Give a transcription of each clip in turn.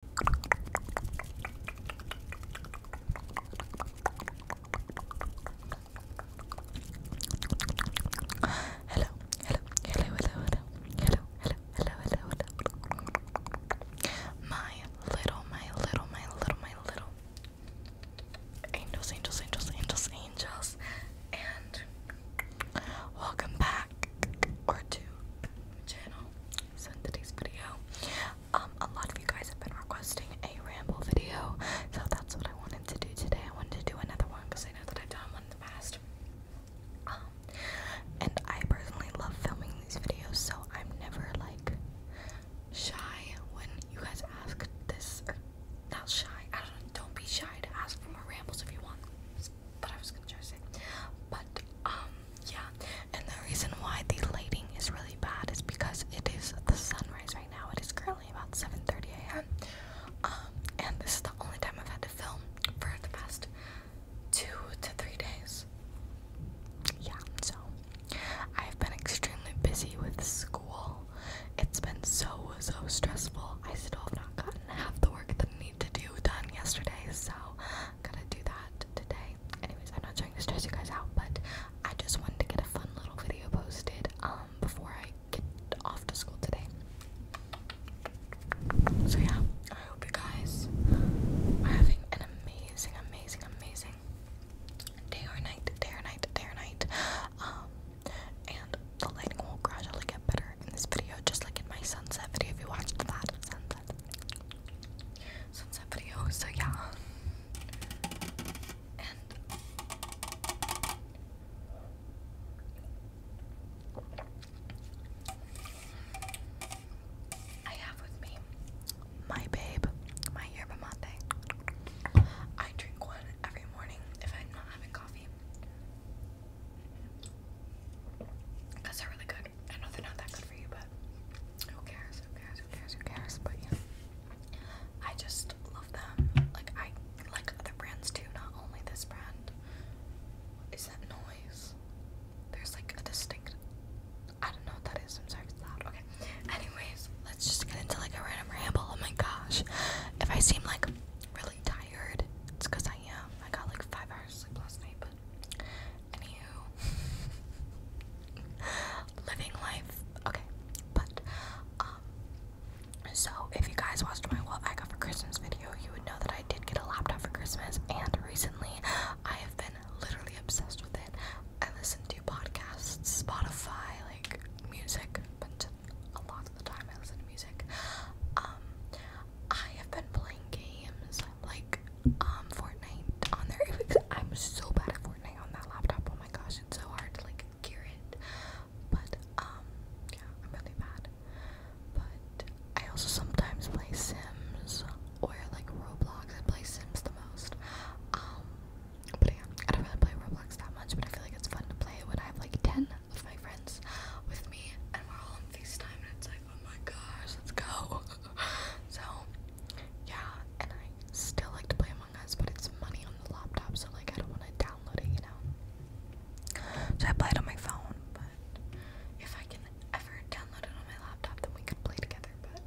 Hello, hello, hello, hello, hello, hello, hello, hello, hello, My little, my little, my little, my little angels, angels, angels, angels, angels, and welcome back or to channel. So today's video, um, a lot of you guys have been requesting a ramble video, so that's what I wanted to do today. I wanted to do another one because I know that I've done one in the past. Um, and I personally love filming these videos, so I'm never like shy when you guys ask this or not shy. I don't don't be shy ask for more rambles if you want. But I was gonna try to say. But um yeah, and the reason why the lighting is really bad is because it is the sunrise right now. It is currently about 7:30 a.m. Um, and this is the only time I've had to film for the past two to three days. Yeah, so I've been extremely busy with school. It's been so so stressful. I still have not gotten half the work that I need to do done yesterday, so I'm gonna do that today anyways, I'm not trying to stress you guys out, but I just wanted to get a fun little video posted um, before I get off to school today. So yeah, I hope you guys are having an amazing, amazing, amazing day or night, day or night, day or night. Um, and the lighting will gradually get better in this video, just like in my sunset video. If you watched that sunset, sunset video, yeah. I have with me my babe, my yerba mate. I drink one every morning if I'm not having coffee they're really good. I know they're not that good for you, but who cares? Who cares? Who cares? Who cares? But yeah, I just love them. Like I like other brands too, not only this brand. What is that noise? There's like a distinct. I don't know what that is. I'm sorry, it's loud. Okay. Anyways, let's just get into like a random ramble. Oh my gosh, if I seem like really tired, it's because I am. I got like five hours sleep last night anywho, living life. Okay, but um, so if you guys watched my what I got for Christmas video, you would know that I did get a laptop for Christmas, and recently I have been literally obsessed with it. I listen to podcasts, Spotify, like music, but a lot of the time I listen to music. Um, I have been playing games like um Fortnite on there. I'm so bad at Fortnite on that laptop. Oh my gosh, it's so hard to like gear it. But um yeah, I'm really bad. But I also sometimes play Sims or like Roblox. I play Sims the most. Um but yeah, I don't really play Roblox that much, but I feel like it's fun to play when I have like ten of my friends with me and we're all on FaceTime and it's like oh my gosh, let's go. so, yeah, and I still like to play Among Us, but it's money on the laptop, so like I don't want to download it, you know? So I play it on my phone, but if I can ever download it on my laptop, then we could play together, but.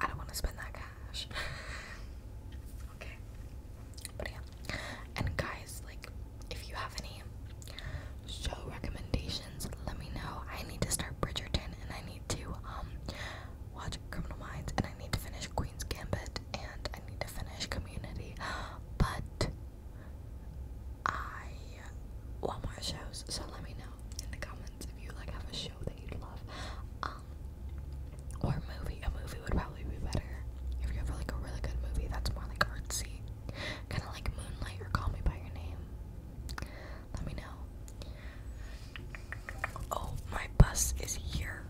I don't want to spend that cash. okay. But yeah. And guys, like, if you have any show recommendations, let me know. I need to start Bridgerton and I need to um watch Criminal Minds and I need to finish Queen's Gambit and I need to finish Community. But I want more shows, so let me know in the comments if you like have a show that you'd love. Um or a movie. A movie would probably be better. If you have like a really good movie that's more like artsy Kind of like Moonlight or Call Me By Your Name. Let me know. Oh, my bus is here.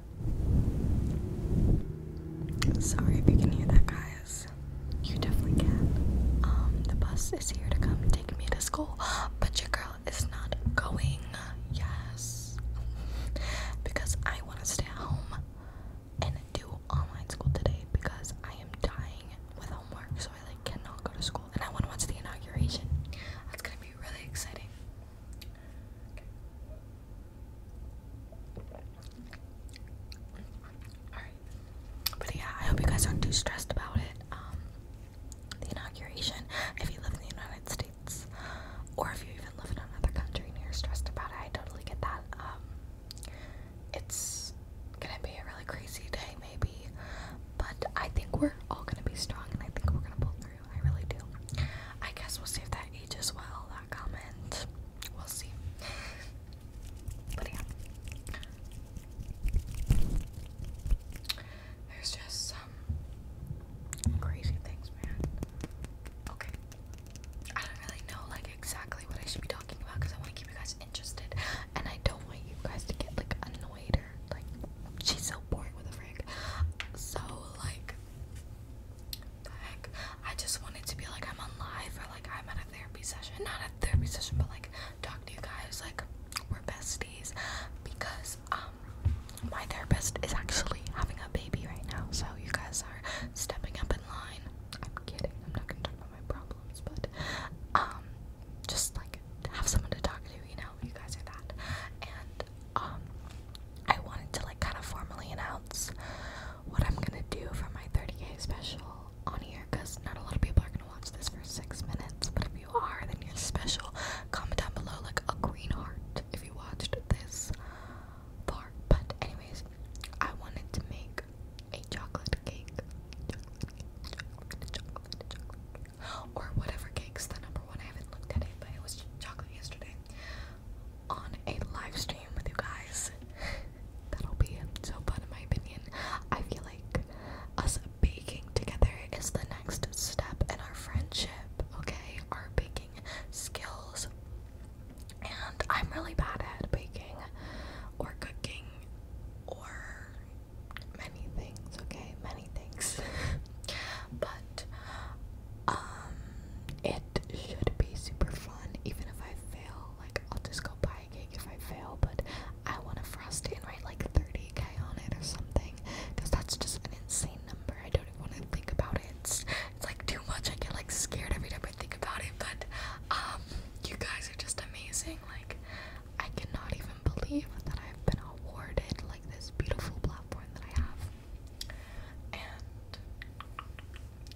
Sorry if you can hear that, guys. You definitely can. Um, the bus is here to come take me to school, but your girl is not going. Yes. Because I want to stay at home do online school today because I am dying with homework, so I like cannot go to school. And I want to watch the inauguration. That's gonna be really exciting. But yeah, I hope you guys aren't too stressed about it. Um, the inauguration. If you live in the United States, or if you even live in another country and you're stressed about it, I totally get that. Um, it's gonna be a really crazy day, maybe, but I think we're all gonna be strong and I think we're gonna pull through. I really do. I guess we'll see if that age as well, that comment. We'll see. But yeah. There's just some crazy things, man. Okay, I don't really know like exactly what I should be talking about because I want to keep you guys interested and I don't want you guys to get like annoyed or like she's so boring with a frig. So like the heck. I just wanted to be like I'm on live or like I'm at a therapy session. Not a therapy session but like talk to you guys like we're besties because um my therapist is actually having a baby right now so you guys are stepping up line. I'm kidding. I'm not gonna talk about my problems, but um, just like have someone to talk to. You know, you guys are that. And um, I wanted to like kind of formally announce what I'm gonna do for my 30k special on here, cause not a lot of people are gonna watch this for six minutes. But if you are, then you're special. Comment down below like a green heart if you watched this far. But anyways, I wanted to make a chocolate cake. Or whatever cake's the number one. I haven't looked at it, but it was chocolate yesterday. On a live stream with you guys. That'll be so fun in my opinion. I feel like us baking together is the next step in our friendship, okay? Our baking skills and I'm really bad at baking or cooking or many things, okay? Many things. but um, it should be super fun even if I fail. Like I'll just go buy a cake if I fail, but I want to frost it and write like 30k on it or something cuz that's just an insane number. I don't even want to think about it it's like too much. I get like scared every time I think about it. But um, you guys are just amazing. Like I cannot even believe that I've been awarded like this beautiful platform that I have. And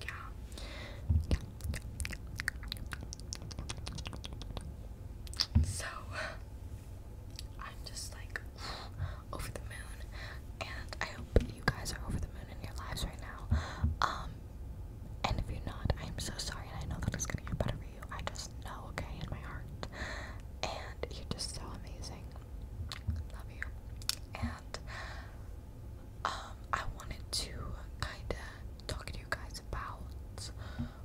yeah. So I'm just like over the moon, and I hope you guys are over the moon in your lives right now. Um, and if you're not, I'm so sorry. And I know that it's gonna get better for you. I just know, okay, in my heart. And you're just so amazing. Love you. And um, I wanted to kind of talk to you guys about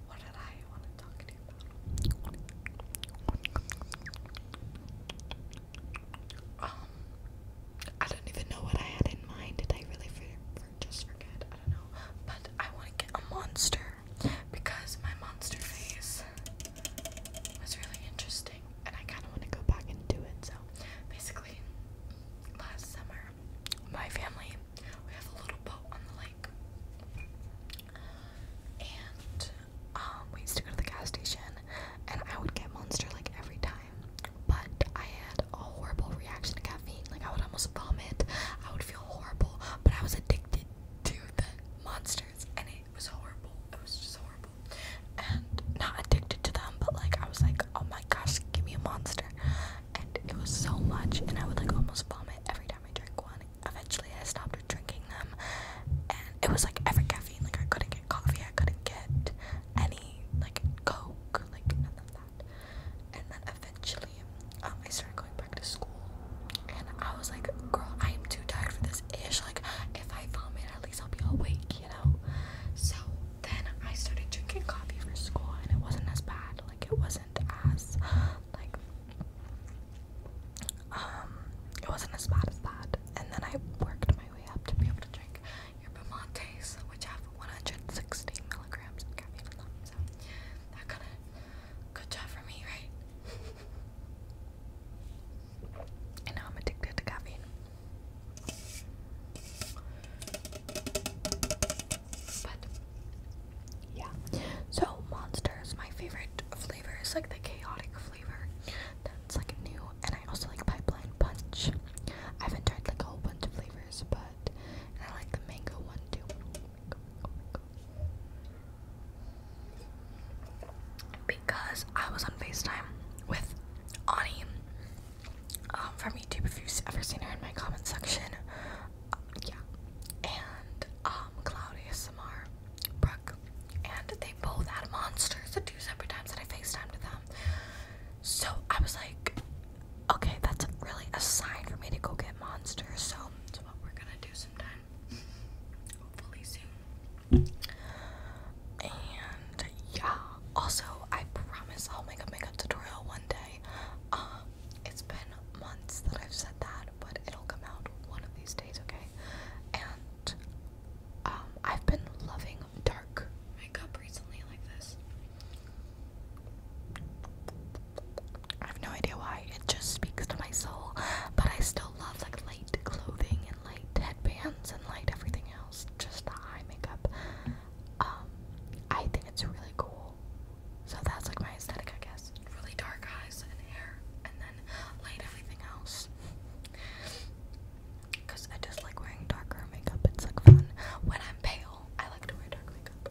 what did I want to talk to you about? Um, I don't even know what I had in mind. Did I really just forget? I don't know. But I want to get a monster because my monster face was really interesting, and I kind of want to go back and do it. So basically, last summer, my family we have a little boat on the lake. And um, we used to go to the gas station, and I would get Monster like every time but I had a horrible reaction to caffeine. Like, I would almost vomit, I would feel horrible, but I was addicted to the monsters, and it was horrible. It was just horrible. And not addicted to them, but like, I was like, oh my gosh, give me a monster. And it was so much, and I would like almost vomit every time I drank one. Eventually, I stopped drinking them, and it was like every caffeine. Like, I couldn't get coffee, I couldn't get. Any like coke, like none of that. And then eventually, um, I started going back to school, and I was like, "Girl, I am too tired for this ish. Like, if I vomit, at least I'll be awake, you know." So then I started drinking coffee for school, and it wasn't as bad. Like, it wasn't as like um, it wasn't as bad as that. And then I worked my way up to be able to drink your pomates, which have 160 milligrams of caffeine So that kind of good job for me, right? and now I'm addicted to caffeine. But yeah, so Monster my favorite flavor. is like the chaotic flavor. That's like new, and I also like pipeline punch. I haven't like a whole bunch of flavors, but I like the mango one too. Because I was on FaceTime with Ani um, from YouTube. If you've ever seen her in my comment section, uh, yeah, and um, Claudia Samar, Brooke, and they both had monsters at two separate times that I FaceTimed with them. So I was like, okay, that's really a sign for me to go get monsters. So that's what we're gonna do sometime. Hopefully soon. And yeah. Also, I promise I'll make a makeup tutorial one day. Um, it's been months that I've said that, but it'll come out one of these days, okay? And um, I've been loving dark makeup recently, like this. I have no idea why. It just speaks to my soul, but I still love like light clothing and light headbands and light everything else. Just the eye makeup. Um, I think it's really cool. So that's like my aesthetic, I guess. Really dark eyes and hair, and then light everything else. Cause I just like wearing darker makeup. It's like fun. When I'm pale, I like to wear dark makeup.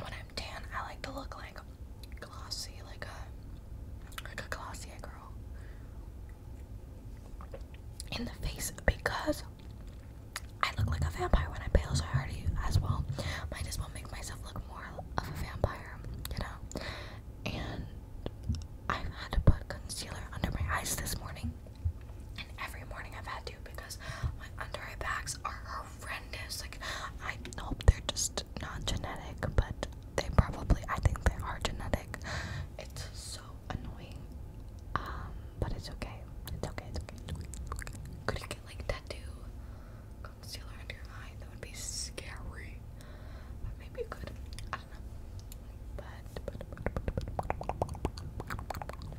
When I'm tan, I like to look like glossy, like a like a glossy girl. In the face because I look like a vampire when i pale, so I already as well. Might as well make myself look more of a vampire, you know? And I've had to put concealer under my eyes this morning. And every morning I've had to because my under eye bags are horrendous. Like, I hope they're just not genetic, but they probably, I think they are genetic. It's so annoying. Um, but it's okay. It's okay. It's okay. It's okay. It's okay. Could you get like tattoo concealer under your eye? That would be scary maybe you I don't know. But,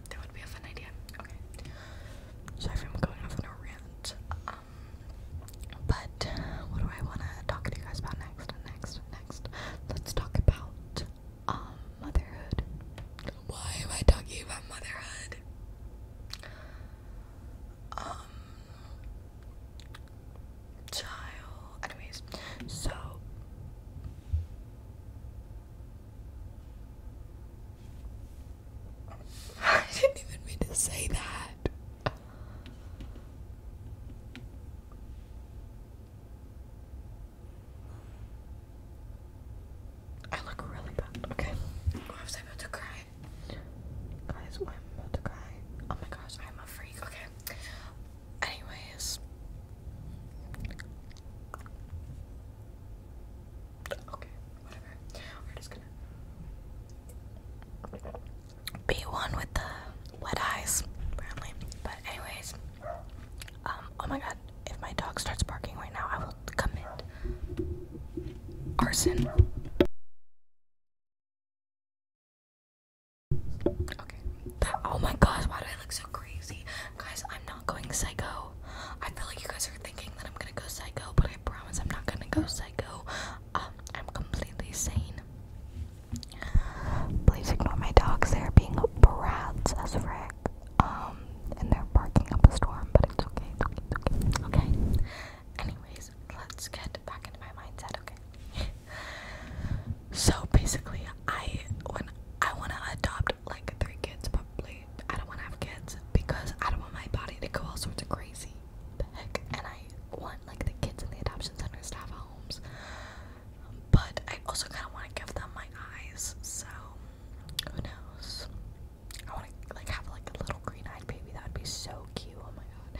that would be a fun idea. Okay. Sorry if going off on a rant. Um, but what do I want to talk to you guys about next? Next, next. Let's talk about um motherhood. Why am I talking about motherhood? Um, child. Anyways, so I didn't even mean to say that. I look really bad. Okay. Oh, I was about to cry. Guys, I'm about to cry. Oh my gosh, I'm a freak. Okay. Anyways. Okay, whatever. We're just gonna be one with the wet eyes, apparently. But anyways, um, oh my god, if my dog starts barking right now, I will commit arson. Oh my gosh, why do I look so crazy? Guys, I'm not going psycho. I feel like you guys are thinking that I'm gonna go psycho, but I promise I'm not gonna go psycho. Um, I'm completely sane. Please ignore my dogs. They're being brats as frick. Um, and they're barking up a storm, but it's okay. okay. okay. Okay. Anyways, let's get back into my mindset. Okay. So basically, I when I want to adopt like three kids, probably I don't want to have kids because I don't want my body to go all sorts of crazy. Heck, and I want like the kids in the adoption center to have homes, but I also kind of want to give them my eyes. So who knows? I want to like have like a little green-eyed baby. That would be so cute. Oh my god!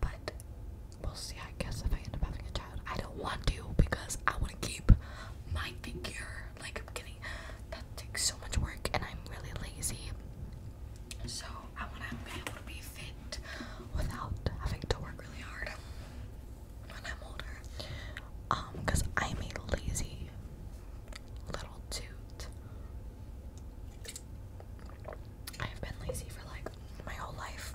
But We'll see, I guess, if I end up having a child. I don't want to because I want to keep my figure. Like, I'm getting, That takes so much work, and I'm really lazy. So, I want to be able to be fit without having to work really hard when I'm older. Um, because I'm a lazy little toot. I have been lazy for like my whole life.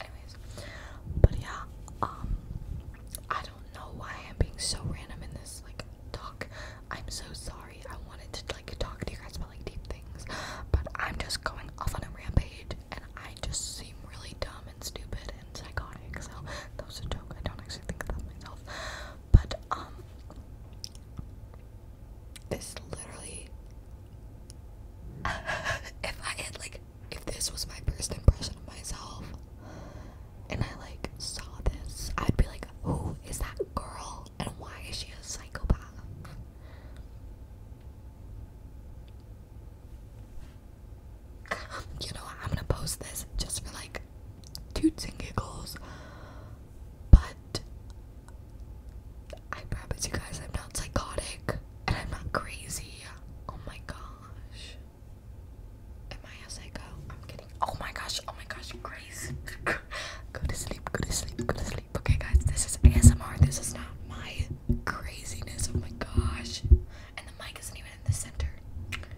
Anyways, but yeah, um, I don't know why I'm being so random in this like talk. I'm so sorry. I wanted to like talk to you guys about like deep things, but I'm just going off on a rampage, and I just seem really dumb and stupid and psychotic. So that was a joke. I don't actually think that myself, but um. This literally. if I had, like, if this was my first impression of myself and I, like, saw this, I'd be like, who is that girl and why is she a psychopath? you know, I'm gonna post this just for, like, toots and giggles. But I promise you guys, I'm not psychotic and I'm not crazy. Oh my gosh. Am I a psycho? I'm kidding. Oh my gosh, oh my gosh, Grace. go to sleep, go to sleep, go to sleep. Okay, guys, this is ASMR. This is not my craziness. Oh my gosh. And the mic isn't even in the center.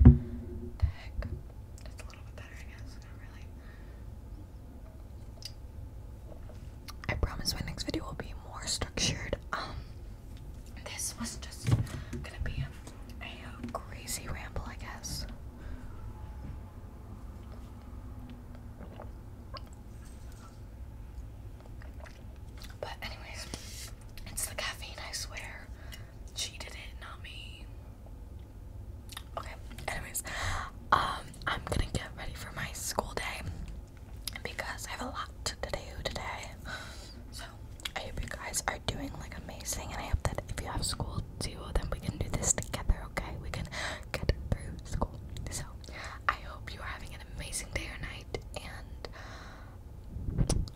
The heck? It's a little bit better, I guess. Not really. I promise my next video will be more structured. Um, this was just gonna be a, crazy ramble, I guess. But anyways, it's the caffeine, I swear. She did it, not me. Okay, anyways. Um I'm gonna get ready for my school day because I have a lot to do today. So I hope you guys are doing like amazing, and I hope that if you have school too, then we can do this together. Okay, we can get through school. So I hope you are having an amazing day or night, and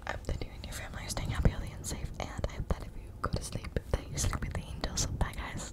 I hope that you and your family are staying healthy, and safe. And I hope that if you go to sleep, that you sleep with the angels. Bye, guys.